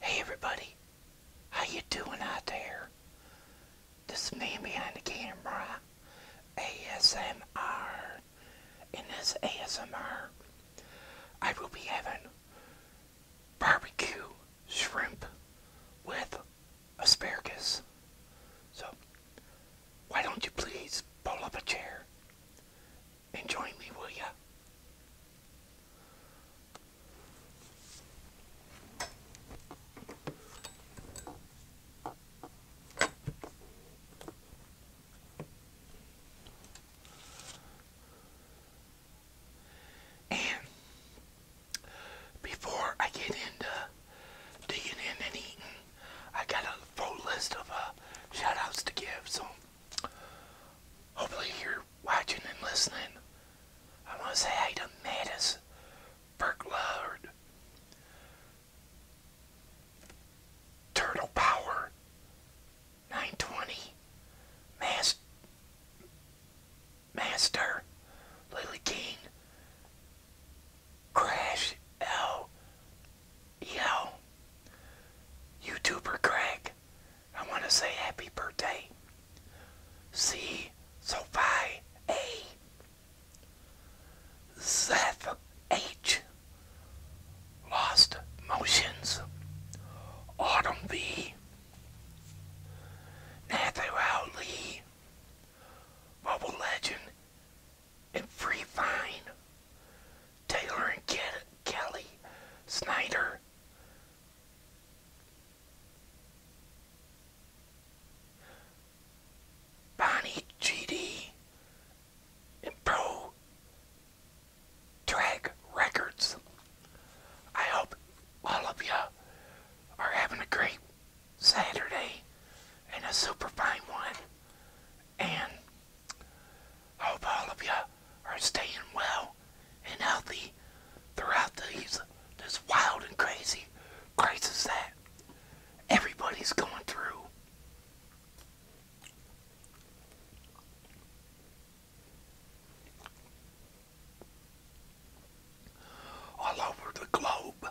Hey everybody, how you doing out there? This man behind the camera, ASMR. In this ASMR, I will be having barbecue shrimp with asparagus. So, why don't you please pull up a chair and join me, will ya? And before I get into digging in and eating, I got a full list of uh, shout outs to give, so Hopefully you're watching and listening. I want to say hey to Mattis Burkload, Turtle Power, 920, Mas Master, Lily King, Crash L, Yo, YouTuber Greg, I want to say happy birthday. See, Sophie A. Seth H. Lost Motions. Autumn V. Nathaniel Lee. Bubble Legend and Free fine. Taylor and Kelly Snyder. Bonnie GD and Pro Drag Records. I hope all of you are having a great Saturday and a super fine one. And Hope all of you are staying well and healthy throughout these this wild and crazy crisis that everybody's going through. All over the globe.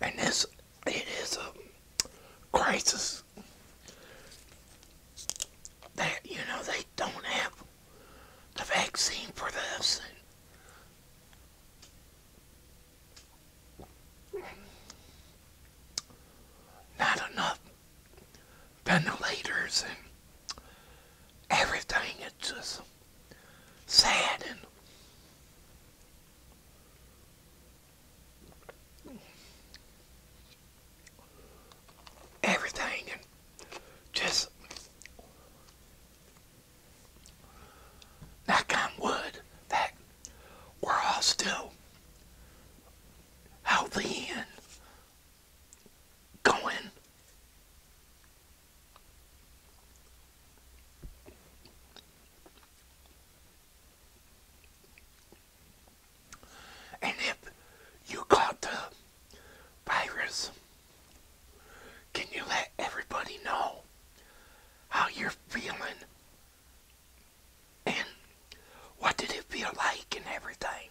And this, it is a crisis that, you know, they don't have the vaccine for this not enough ventilators and everything. It's just sad and everything and just knock on wood that we're all still healthy and going. And if you caught the virus, can you let everybody know how you're feeling and what did it feel like and everything.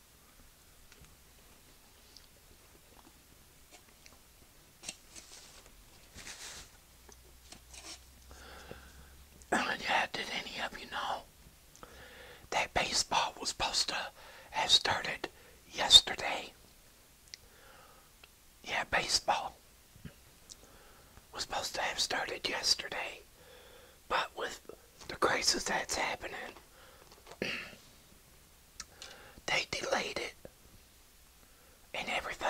Yeah, did any of you know that baseball was supposed to have started yesterday? Yeah, baseball was supposed to have started yesterday. But with the crisis that's happening, they delayed it and everything.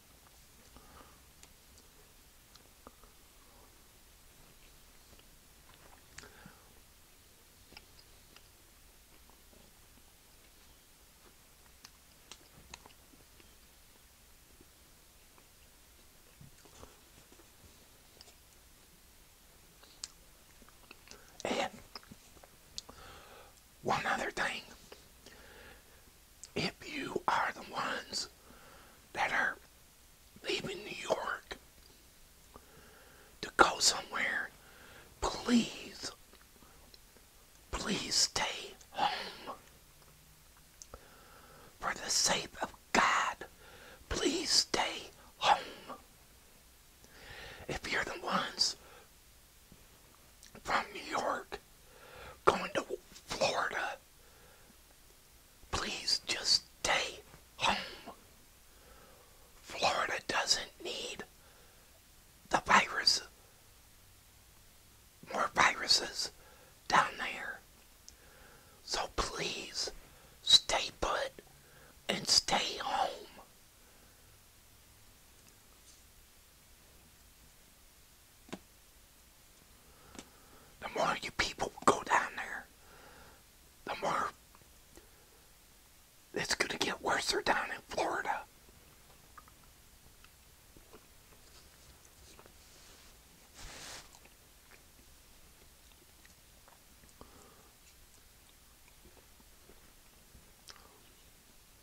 And one other thing if you are the ones that are leaving New York to go somewhere, please, please stay home. For the sake of God, please stay home. If you're the ones from New York going to Florida, please just stay home. Florida doesn't need the virus, more viruses down there. So please stay put and stay home. The more you people go down there, the more it's going to get worse down in Florida.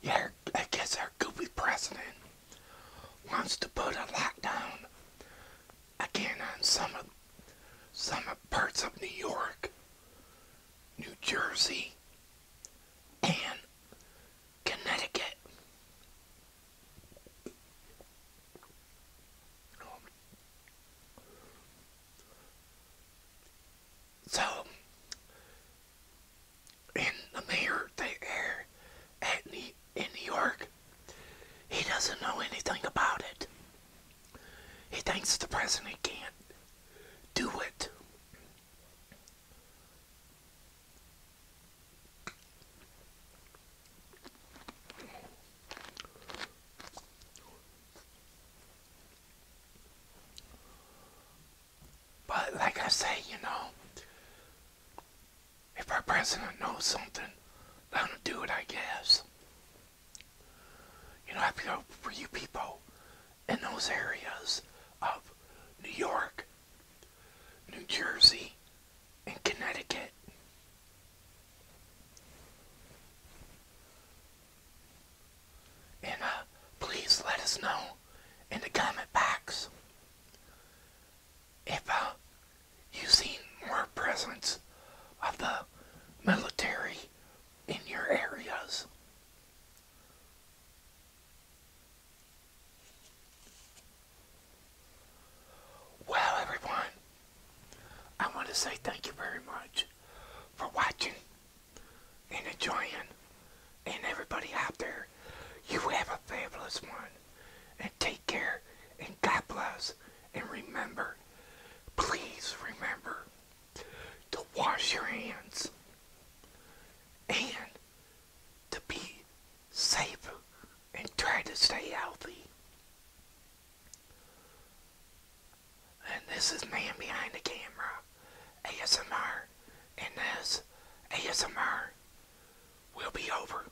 Yeah, I guess our goofy president wants to put a lockdown again on some of some parts of New York. New Jersey, and Connecticut. So, and the mayor there at the in New York, he doesn't know anything about it. He thinks the president can't do it. But like I say, you know, if our president knows something, let him do it, I guess. You know, I feel for you people in those areas of New York, New Jersey, and Connecticut. And uh, please let us know in the comment box if uh, you've seen more presence of the military in your areas. Well, everyone, I want to say thank you very much for watching and enjoying. And everybody out there, you have a fabulous one. And take care, and God bless, and remember, please remember to wash your hands and to be safe and try to stay healthy. And this is Man Behind the Camera, ASMR, and this ASMR will be over.